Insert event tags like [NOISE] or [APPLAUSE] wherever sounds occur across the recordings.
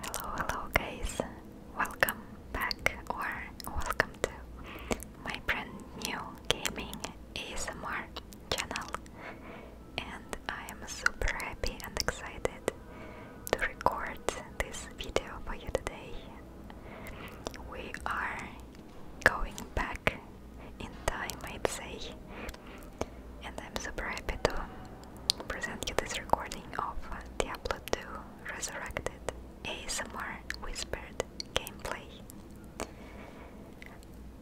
Hello, hello, guys! Welcome back or welcome to my brand new gaming ASMR channel. And I am super happy and excited to record this video for you today. We are going back in time, I'd say, and I'm super happy to present you this recording of the upload to Resurrected ASMR Whispered gameplay.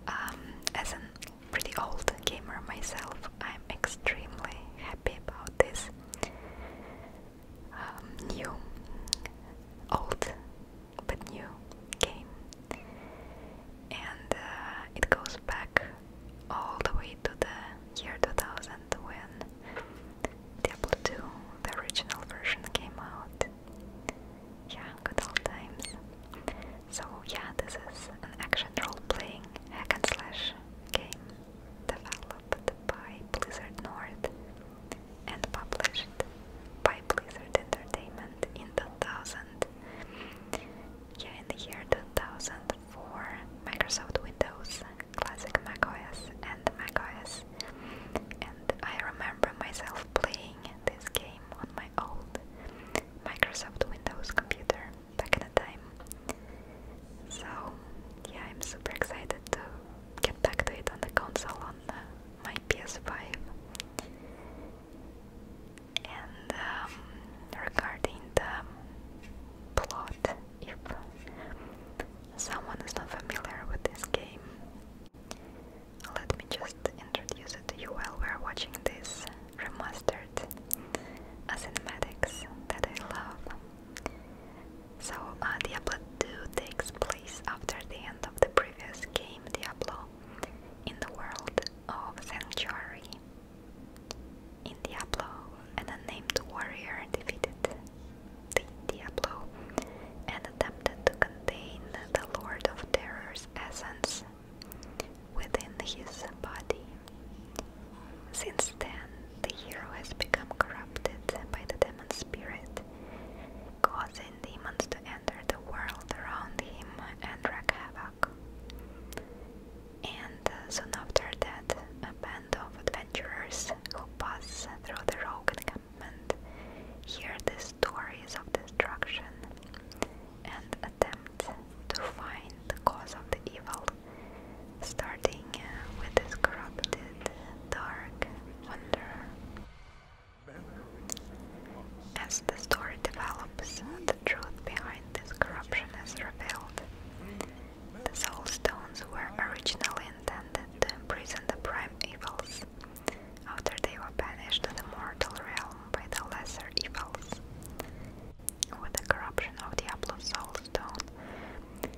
Um, as a pretty old gamer myself, I'm extremely happy about this um, new, old but new game, and uh, it goes back all the way to the year 2000 when Diablo 2, the original version, came out. Yeah, good old times. So yeah, this is an action role-playing hack and slash game developed by Blizzard North and published by Blizzard Entertainment in 2000. Yeah, in the year 2000 for Microsoft Windows, Classic Mac OS, and Mac OS, And I remember myself playing this game on my old Microsoft Windows computer back in the time. So, yeah, I'm super excited to get back to it on the console on my PS5 and um, regarding the plot, if someone is not familiar with this game, let me just introduce it to you while we're watching this remastered cinematics that I love. So, uh, Diablo 2 takes place after the end of the previous game, Diablo, in the world of Sanctuary, in Diablo, an unnamed warrior defeated the Diablo and attempted to contain the Lord of Terror's essence within his body. Since then, the hero has become corrupted by the demon's spirit, causing demons to enter the world around him and wreak havoc. And uh, soon after that, a band of adventurers who pass through the rogue encampment hear the stories of destruction and attempt to find the cause of the evil, starting uh, with this corrupted, dark wanderer. As the story develops, the truth behind this corruption is revealed. The soul stones were originally intended to imprison the prime evils. After they were banished to the mortal realm by the lesser evils. With the corruption of Diablo's soul stone,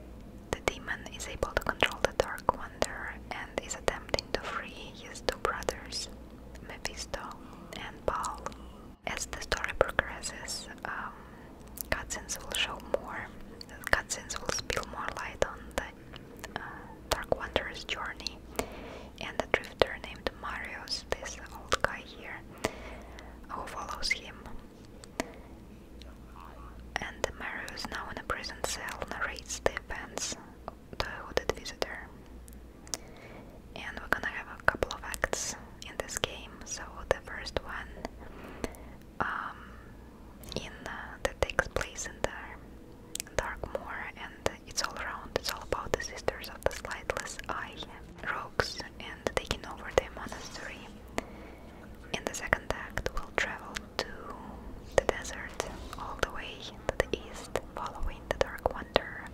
the demon is able to control the Dark Wanderer and is attempting to free his two brothers, Mephisto and Baal. As the story progresses, um, cutscenes will show more, cutscenes will spill more light on the uh, Dark Wanderer's journey and the drifter named Marius, this old guy here, who follows him. And Marius, now in a prison cell, narrates the events to the hooded visitor and we're gonna have a couple of acts in this game. So the first one, um, in uh, that takes place in the Dark Moor, and it's all around. It's all about the Sisters of the Slightless Eye, rogues, and taking over the monastery. In the second act, we'll travel to the desert, all the way to the east, following the Dark Wonder.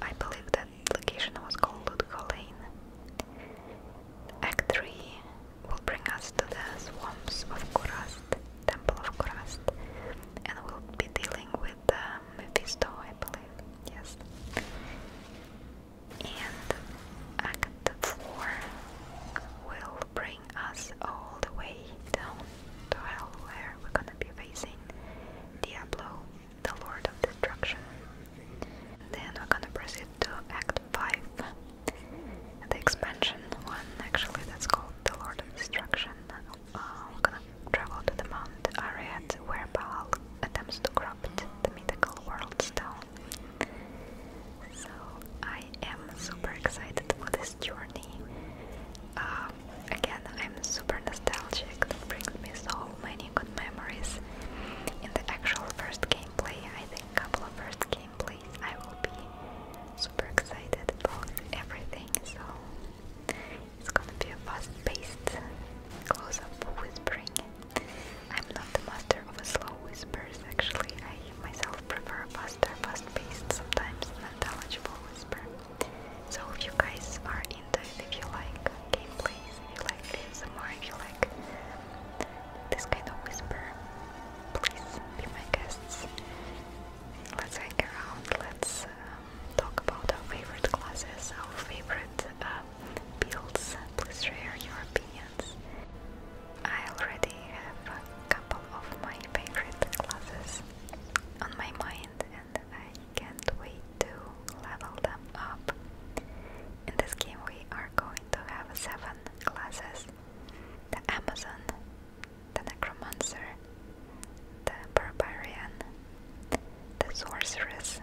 I believe the that location was called Ludgo Lane. Act 3 will bring us to the swamps of Kurast, Temple of Kurast, and we'll be dealing with um, Mephisto, I believe. Yes. And Act 4 will bring us all the way down to hell, where we're gonna be facing Diablo the Lord of Destruction. Then we're gonna proceed to Act 5, the expansion one, actually, that's called the Lord of Destruction. Uh, we're gonna travel to the Mount Ariat, where Baal attempts to corrupt the mythical world stone. So I am super excited for this journey. Um, again, I'm super nostalgic. That brings me so many good memories. In the actual first gameplay, I think a couple of first gameplays, I will be super excited about everything. So it's gonna be a fast-paced close-up whispering. I'm not the master of slow whispers. Actually, I myself prefer faster, fast-paced, sometimes intelligible whisper. So if you guys are into it, if you like gameplays, if you like ASMR, if you like this kind of whisper, please be my guests. Let's hang around, let's um, talk about our favorite classes, our favorite uh, builds, please share your opinions. I already have a couple of my favorite classes on my mind I can't wait to level them up. In this game we are going to have 7 classes. The Amazon, the Necromancer, the Barbarian, the Sorceress,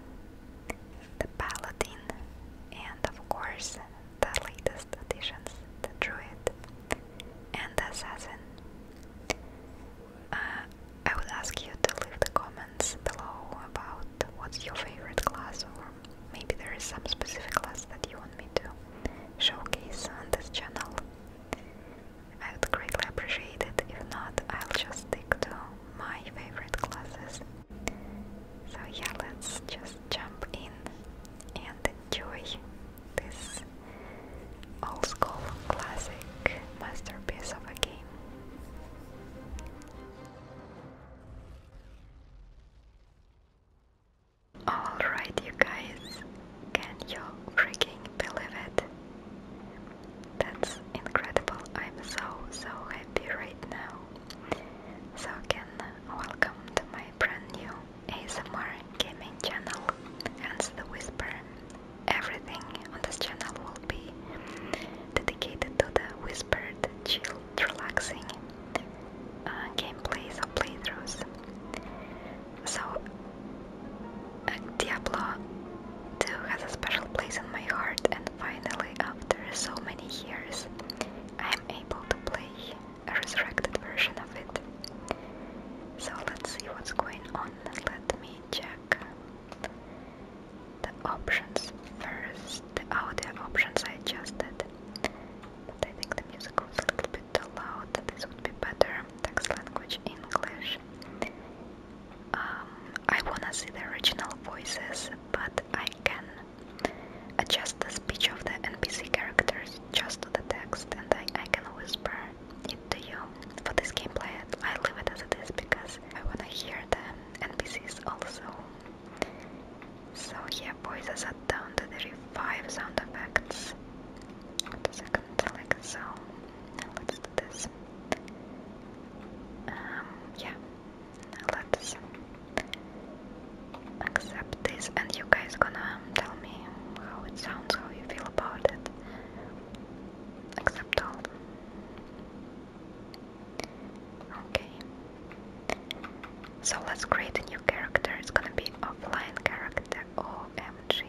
the Paladin, and of course the latest additions, the Druid and the Assassin. Uh, I would ask you to leave the comments below about what's your favorite class, or maybe there is some specific class that you want me to showcase on this channel. I would greatly appreciate it. If not, I'll just stick to my favorite classes. So, yeah, let's just jump in and enjoy this old school classic masterpiece of a game. Alright, you guys, can you freaking believe it? That's incredible. I'm so, so happy right now. So, again, welcome to my brand new ASMR gaming channel, Hence the Whisper everything on this channel will be dedicated to the whispered, chilled, relaxing uh, gameplays or playthroughs. So, uh, Diablo 2 has a special place in my heart, and finally, after so many years, I am able to play a resurrected version of it. So, let's see what's going on. Let me check the options first, oh, the audio options I adjusted, but I think the music was a little bit too loud, this would be better, text language English. Um, I wanna see the original voices, but I can adjust the speech of the NPC characters just the text and I, I can whisper need you for this gameplay. I leave it as it is because I wanna hear the NPCs also. So yeah, boys, I sat down to the revive sound effects. second, like let's do this. Um, yeah. let's accept this, and you guys gonna tell me how it sounds, how you feel about it accept all. Okay. So let's create a new character. It's gonna be offline character. OMG.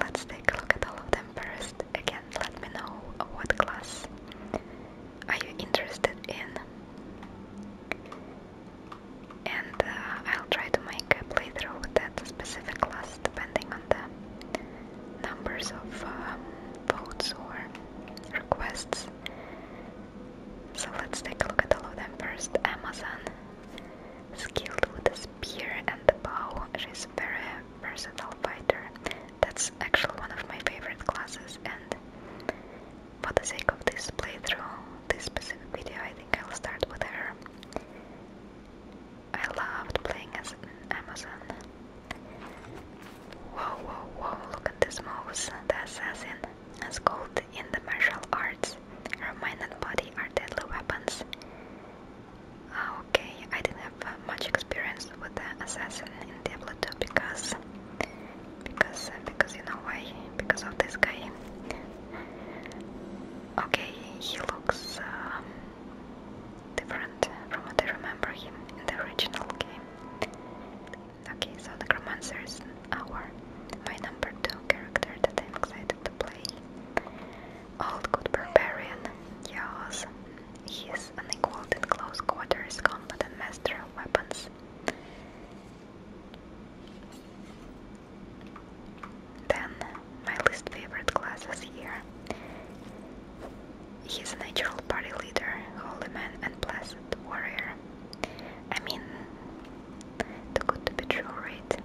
Let's take a look at all of them first. Again, let me know what class are you interested in. And uh, I'll try to make a playthrough with specific class depending on the numbers of um, votes or requests. So let's take a look at all of them first. Amazon, skilled with the spear and the bow, she's a very versatile fighter. That's actually one of my favorite classes, and for the sake of this playthrough, this specific video, I think I'll start with her. I loved playing as an Amazon. Whoa, whoa, whoa, look at this mouse. The assassin and gold in the martial arts. Her mind and body are deadly weapons. Ah, okay, I didn't have uh, much experience with the assassin in Diablo because, because, uh, because you know why? Because of this guy. Okay, he looks um, different from what I remember him in the original game. Okay, so the Gromancer is our my number two character that I'm excited to play. Old Good Barbarian, Yes, he's is unequaled in close quarters combat and master of weapons. Then my least favorite classes here. He's a natural party leader, holy man and blessed warrior. I mean, too good to be true, right?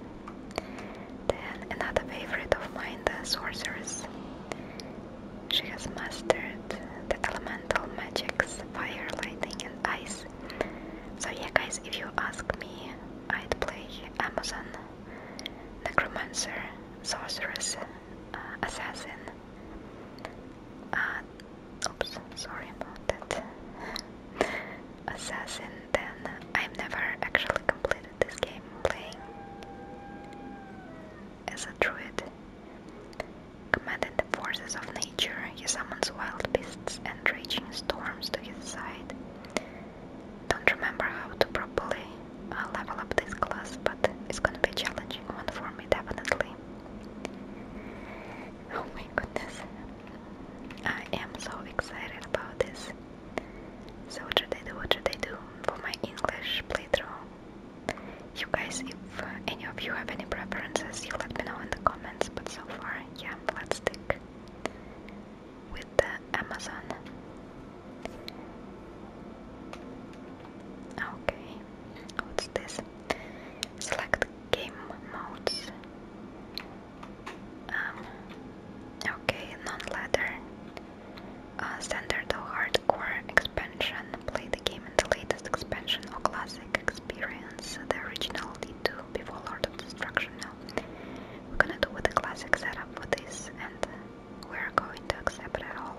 Then another favorite of mine, the sorceress. She has mastered the elemental magics, fire, lightning and ice. So yeah guys, if you ask me, I'd play Amazon necromancer, sorceress, uh, assassin. Uh, oops, sorry about that. [LAUGHS] assassin, then I've never actually completed this game playing as a druid. Commanding the forces of nature, he summons wild beasts and raging storms to his side don't remember how to properly uh, level up this class, but it's gonna be a challenging one for me, definitely. Oh my goodness, I am so excited about this. So what should I do, what should I do for my English playthrough? You guys, if any of you have any preferences, you let me know in the comments, but so far, yeah, let's stick with the Amazon. Okay, what's this? Select game modes. Um, okay, non-ladder. Uh, standard hardcore expansion. Play the game in the latest expansion or classic experience. The original D2 before Lord of Destruction. We're gonna do with the classic setup for this, and we're going to accept it all.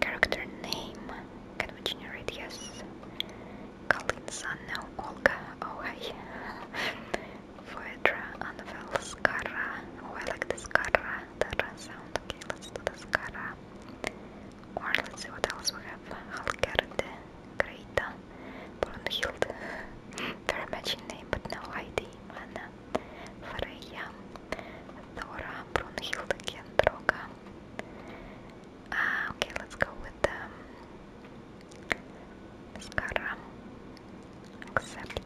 Character name. Can we generate? Yes. Kalinsan, no. Olga, oh hi. Phaedra, [LAUGHS] Anvel, Oh, I like the Skara, that sound. Okay, let's do the Skara. Or let's see what else we have. Halkerde, Greta, Brunhild, very matching name but no ID, Anna, Freya, Thora, Brunhild, Kendroga. Ah, okay, let's go with um, Skara. Accept.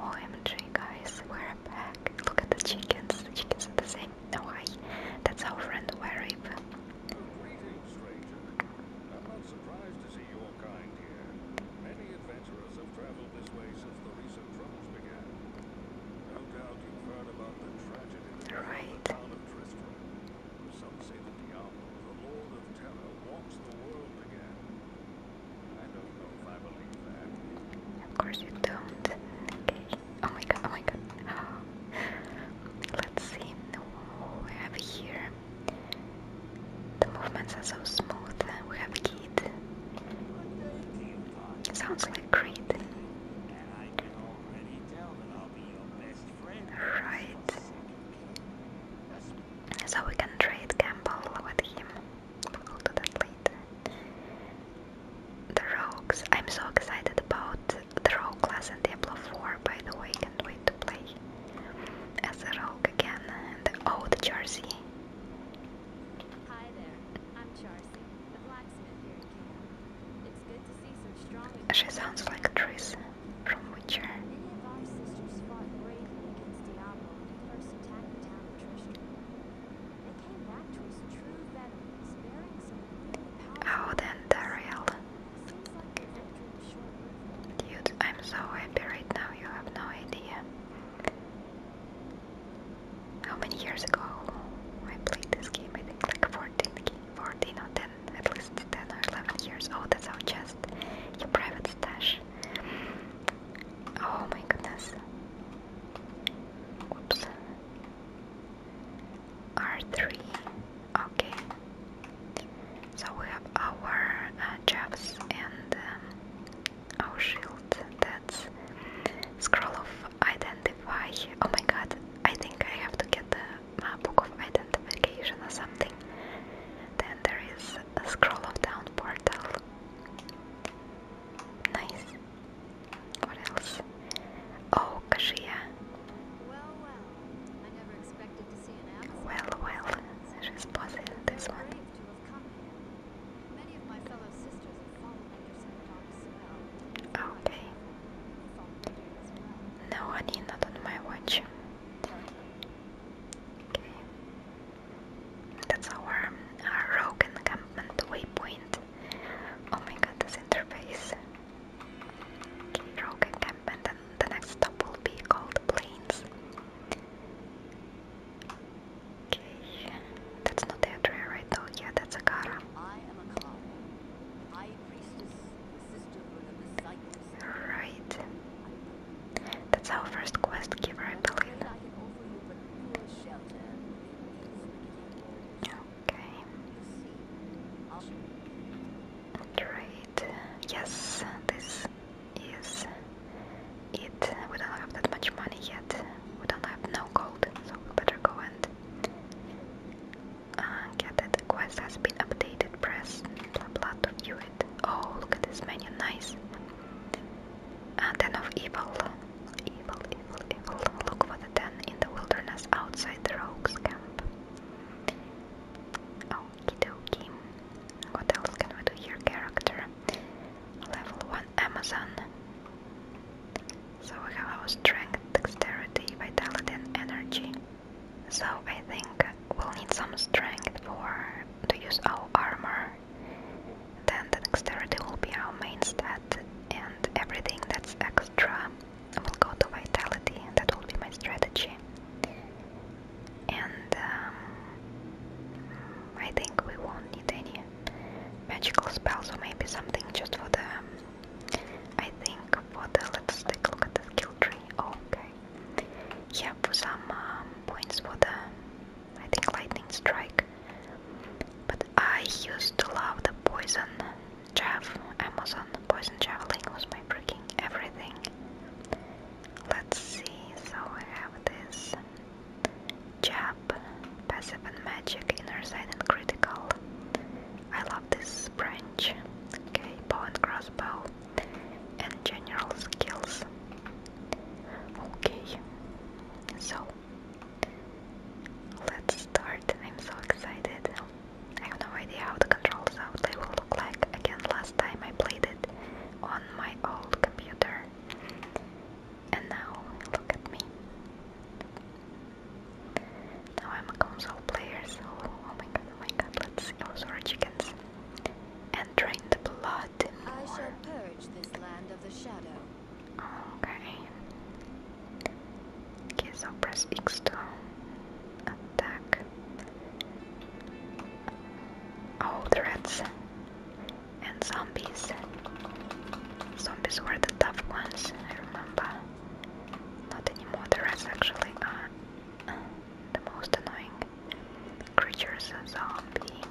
OMG, oh, guys, we're back. Look at the chickens. The chickens are the same. No, I. That's our friend Warib. I'm not surprised to see your kind here. Many adventurers have traveled this way since the recent troubles began. No doubt you've heard about the tragedy that right. the town of Tristram. Some say that Diablo, the Lord of Terror, walks the world again. I don't know if I believe that. Of course you don't. Oh my god, oh my god. [GASPS] Let's see what we have here. The movements are so smooth. We have Kid. Sounds like Creed. Right. So we can trade Campbell with him. But we'll do that later. The Rogues. I'm so excited about the rogue class in Diablo 4, by the way, can't wait to play as a rogue again. And oh, the jersey. Hi there, I'm Charcy, the blacksmith here It's good to see some strong She sounds like Tris from Witcher. Many of our sisters fought bravely against Diablo when first attacked the town of Trishul. They came back to us true veterans, bearing some out and Daryl. Dude, I'm so happy right now, you have no idea. How many years ago I played this game? I think like 14, 14 10, at least 10 or 11 years. Oh, that's our chest, your private stash. Oh my goodness. Whoops. R3. Okay. So we have our uh, jabs and um, our shield. That's scroll of identify. Oh my god, I think I have to get the book of identification or something. Then there is a scroll of down portal. Nice. What else? Oh, cashier. Well, well. I never expected to see an Amazon. Well, well. She's positive this one. Many of my fellow sisters have fallen under some dark spell. Okay. No, honey, not on my watch. Okay. That's our, our rogue encampment waypoint. Oh my god, this interface. Rogue encampment and the next stop will be called Plains. Okay, that's not the Adria right though, yeah, that's Akara. I am Akara, high priestess, the sisterhood of the cycles. Right. That's our first quest giver, I believe. Okay. And Yes, this is it. We don't have that much money yet. We don't have no gold, so we better go and uh, get it. quest has been updated. Press blood to view it. Oh, look at this menu. Nice. Uh, of evil. Evil, evil, evil. Look what than in the wilderness outside the rogues camp. Okie dokie. What else can we do here? Character. Level 1 Amazon. So we have our strength, dexterity, vitality, and energy. So I think we'll need some strength for to use our armor. Then the dexterity will be our main stat, and everything that's extra I will go to vitality, that will be my strategy. And um, I think we won't need any magical spells, or maybe something just for the. I think for the. Let's take a look at the skill tree. Oh, okay. Yeah, for some um, points for the. I think lightning strike. But I used to love the poison Jeff, Amazon, Poison Javelin was my freaking everything. Let's see, so I have this Jab, Passive and Magic, Inner Sight and Critical. I love this branch. Okay, bow crossbow and general skills. Okay, so Let's start. I'm so excited. I have no idea how the controls outlay will look like. Again, last time I played it on my old computer. And now, look at me. Now I'm a console player, so oh my god, oh my god, let's see those are chickens. And drain the blood more. I shall purge this land of the shadow. Okay. Okay, so press X to attack. Oh, threats and zombies. Zombies were the tough ones, I remember. Not anymore, The threats actually are the most annoying creatures. A zombie.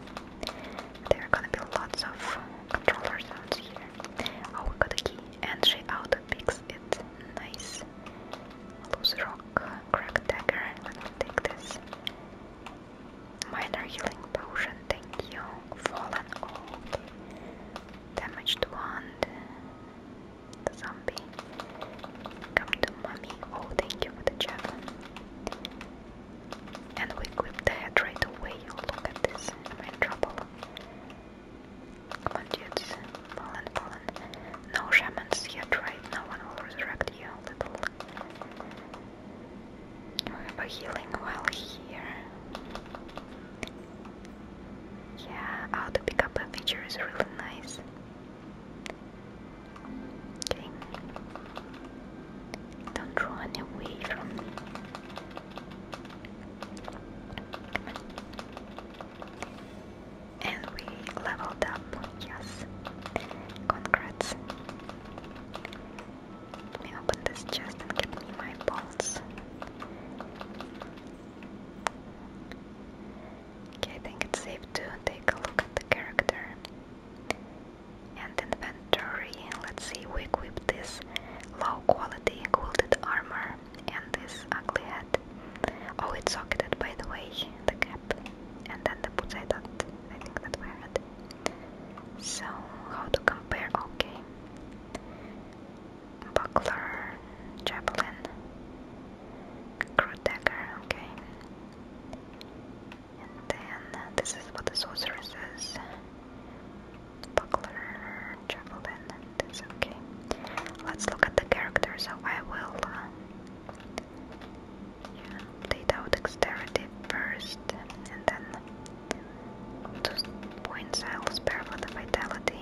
There are gonna be lots of controller sounds here. Oh, we got a key and she auto picks it. Nice. Loose rock, crack dagger. take this. Minor healing potion, thank you. Fallen old. Damaged wand. The zombie. Come to mommy. Oh, thank you for the javelin. And we equip the head right away. Oh, look at this. Am in trouble? But Poland, Poland. No shamans yet, right? No one will resurrect you, little. You have a healing while here. Yeah, how to feature is really nice. Okay. Don't run away from me. And we leveled up, yes. Congrats. Let me this chest and get me my bolts. Okay, I think it's safe to take a look at the character and inventory. Let's see, we equip this low quality quilted armor and this ugly head. Oh, it's socketed by the way, the cap, and then the boots. I thought, I think that were it. So, how to compare? Okay, buckler, javelin, crew dagger. Okay, and then this is what the sorceress is buckler, javelin, and okay. Let's look at the characters. so I will uh, yeah, date out dexterity first, and then those points I'll spare for the vitality.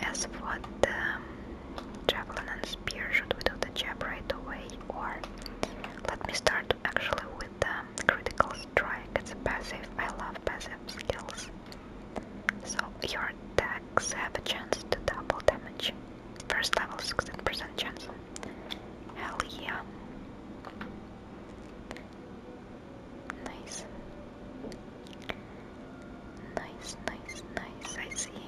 As for the um, javelin and spear, should we do the jab right away, or let me start actually with the criticals? strike, it's a passive, I love passive skills. So your attacks have a chance to double damage. First level 16% chance. Hell yeah. Nice. Nice, nice, nice, I see.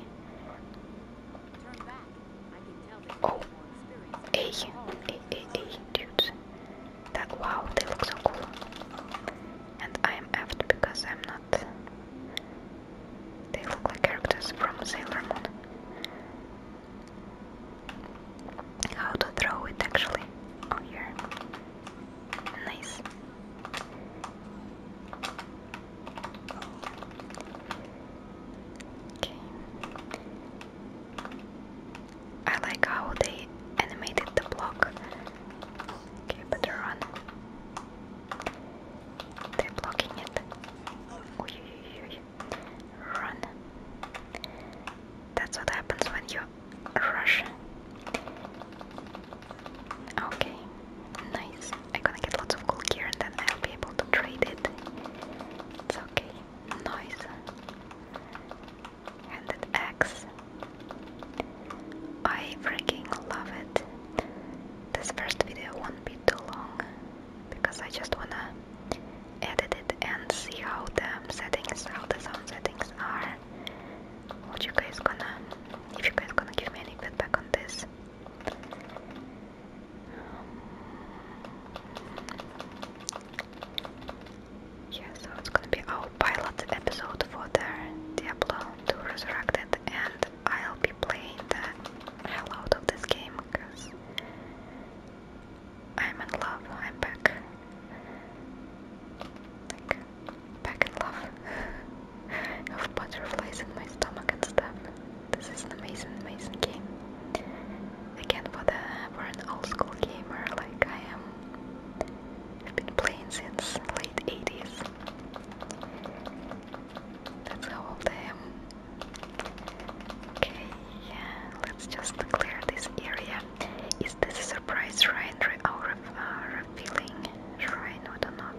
Oh, A, A, A, A, dudes that wow, they look so cool. And I am effed because I'm not. They look like characters from Sailor Moon. How to throw it actually? Oh, here. Nice. Okay. I like how they animated the block. Okay, better run. They're blocking it. Run. That's what happens when you rush. Okay, nice. I'm gonna get lots of gold gear and then I'll be able to trade it. It's okay. Nice and that I freaking love it. This first video won't be too long because I just wanna edit it and see how the settings, how the sound settings are. What you guys gonna, if you guys gonna give me any feedback on this. Um, yeah, so it's gonna be our pilot episode for the Diablo 2 Resurrected, and I'll be playing the hell out of this game because I'm in love. I'm back, like back in love. of [LAUGHS] butterflies in my stomach and stuff. This is an amazing, amazing game. Again, for the for an old school gamer like I am, I've been playing since late '80s. That's how old I am. Okay, yeah, let's just clear this area. Is this a surprise shrine or oh, uh, refilling shrine? I don't know.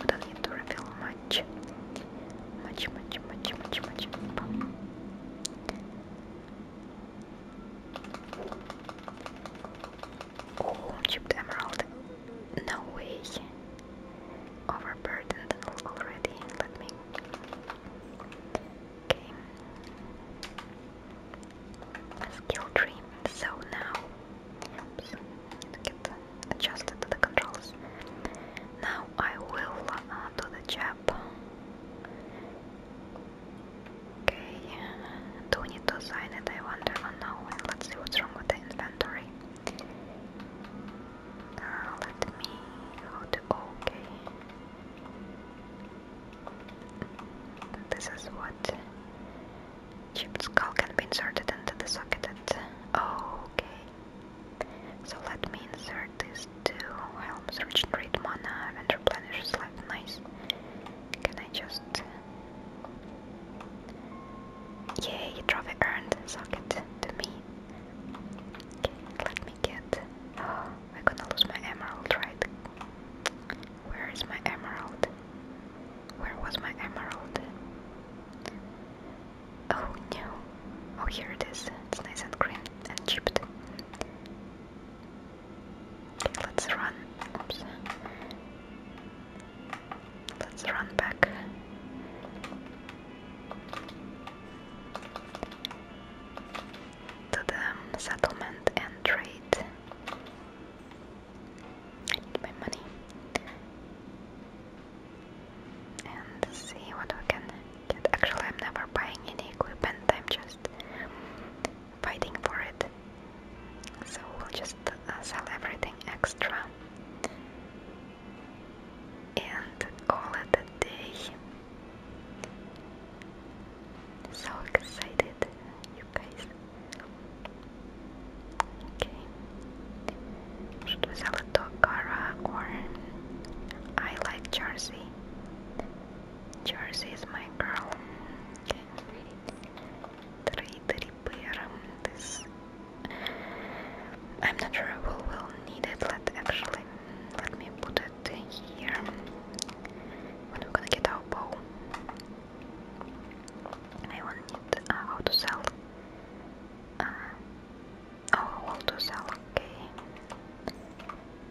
We don't need to refill much. Much, much, much, much, much. Oh, chipped emerald. No way. Overburdened already. Let me. Okay. Skill tree. So now. Oops. Get adjusted to the controls. Now I will uh, do the jab. Okay, do we need to sign it? I wonder. Oh no, let's see what's wrong with the inventory. Uh, let me okay. This is what chipped skull can be inserted into the socket. Oh, okay. So let me insert this to Helm's Regenerate Mana and replenishes life. Nice. Can I just... Yay, it earned socket to me. Okay, let me get... Oh, [GASPS] I'm gonna lose my emerald, right? Where is my emerald? Where was my emerald? Oh no. Oh, here it is. It's nice and green and chipped let's run. Let's run back. To the um, settlement and trade. I need my money. And see what we can Actually, I'm never buying any equipment, I'm just fighting for it. So we'll just uh, sell everything extra. And all at a day. So excited, you guys. Okay. Should sell it to or I like Jersey? Jersey is my girl. Three, um, I'm not sure we will need it. Let actually, let me put it here. we're gonna get our bow, I will need uh, how to sell. Uh, oh, how to sell? Okay.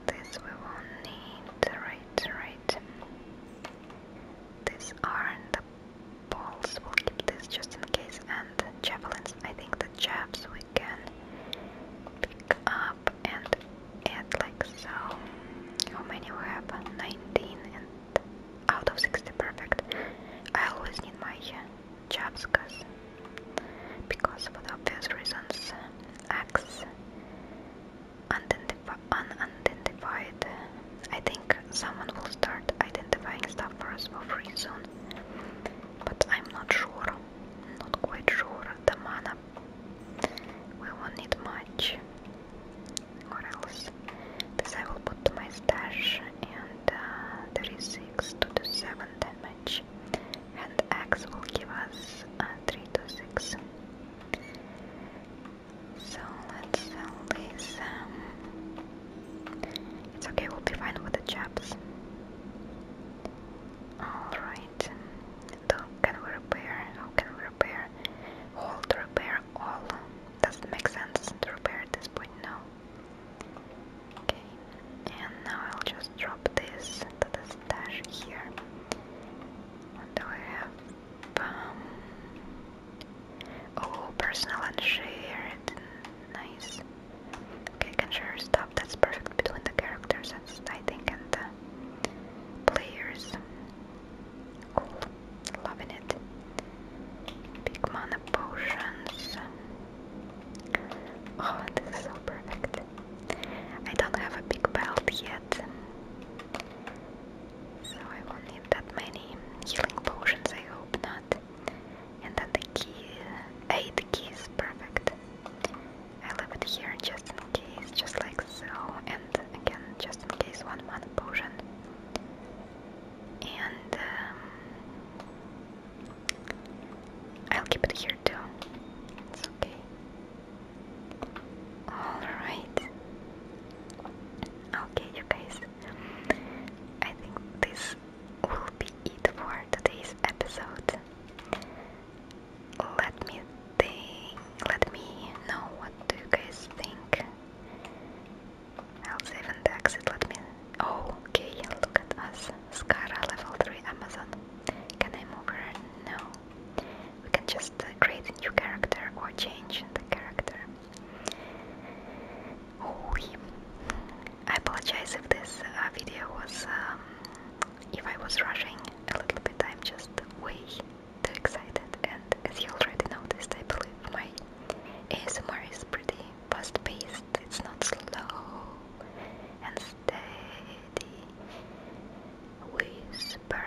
This we won't need, right, right. These aren't the we'll keep this just in case. And the javelins, I think the jabs we can pick up and add like so. How many we have? 19 and out of 60, perfect. I always need my jabs because because for the obvious reasons X unidentified, unidentified. I think someone will start identifying stuff for us for free soon, but I'm not sure, not quite sure. The mana we won't need much. What else? This I will put to my stash, and uh, there is six to the seven damage and x will give us uh, 3 to 6. So let's sell these. Um, it's okay, we'll be fine with the chaps. Alright. So can we repair? How can we repair? All to repair all. Doesn't make sense to repair at this point now. Okay. And now I'll just drop this to the stash here. What do I have? Um, oh, personal and shared. Nice. Okay, can share stuff that's perfect between the characters, I think, and the players. Cool. Loving it. Big mana potions. Oh, this is so perfect. I don't have a big belt yet, so I won't need that many healing potions, I hope not. And then the key, 8 keys, perfect. I leave it here just in case, just like so, and again, just in case, one mana potion. And um, I'll keep it here too. It's okay. Alright. Okay, you guys. I think this will be it for today's episode. Let me Let me know what do you guys think. I'll save Let me. Oh, okay. Look at us. Skara level 3 Amazon. Can I move her? No. We can just create a new character or change the character. Oh, him. I apologize if this uh, video was, um, if I was rushing a little bit. I'm just way too excited, and as you already noticed, I believe my ASMR is pretty fast-paced. It's not slow and steady whisper.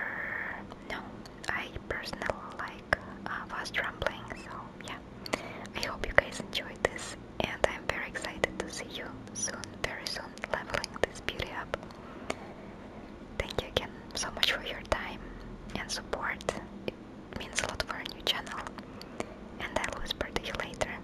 No, I personally like uh, fast rambling, so yeah. I hope you guys enjoyed this, and I'm very excited to see you soon, very soon, leveling this beauty up. Thank you again so much for your time and support. It means a lot for a new channel, and I'll whisper to you later.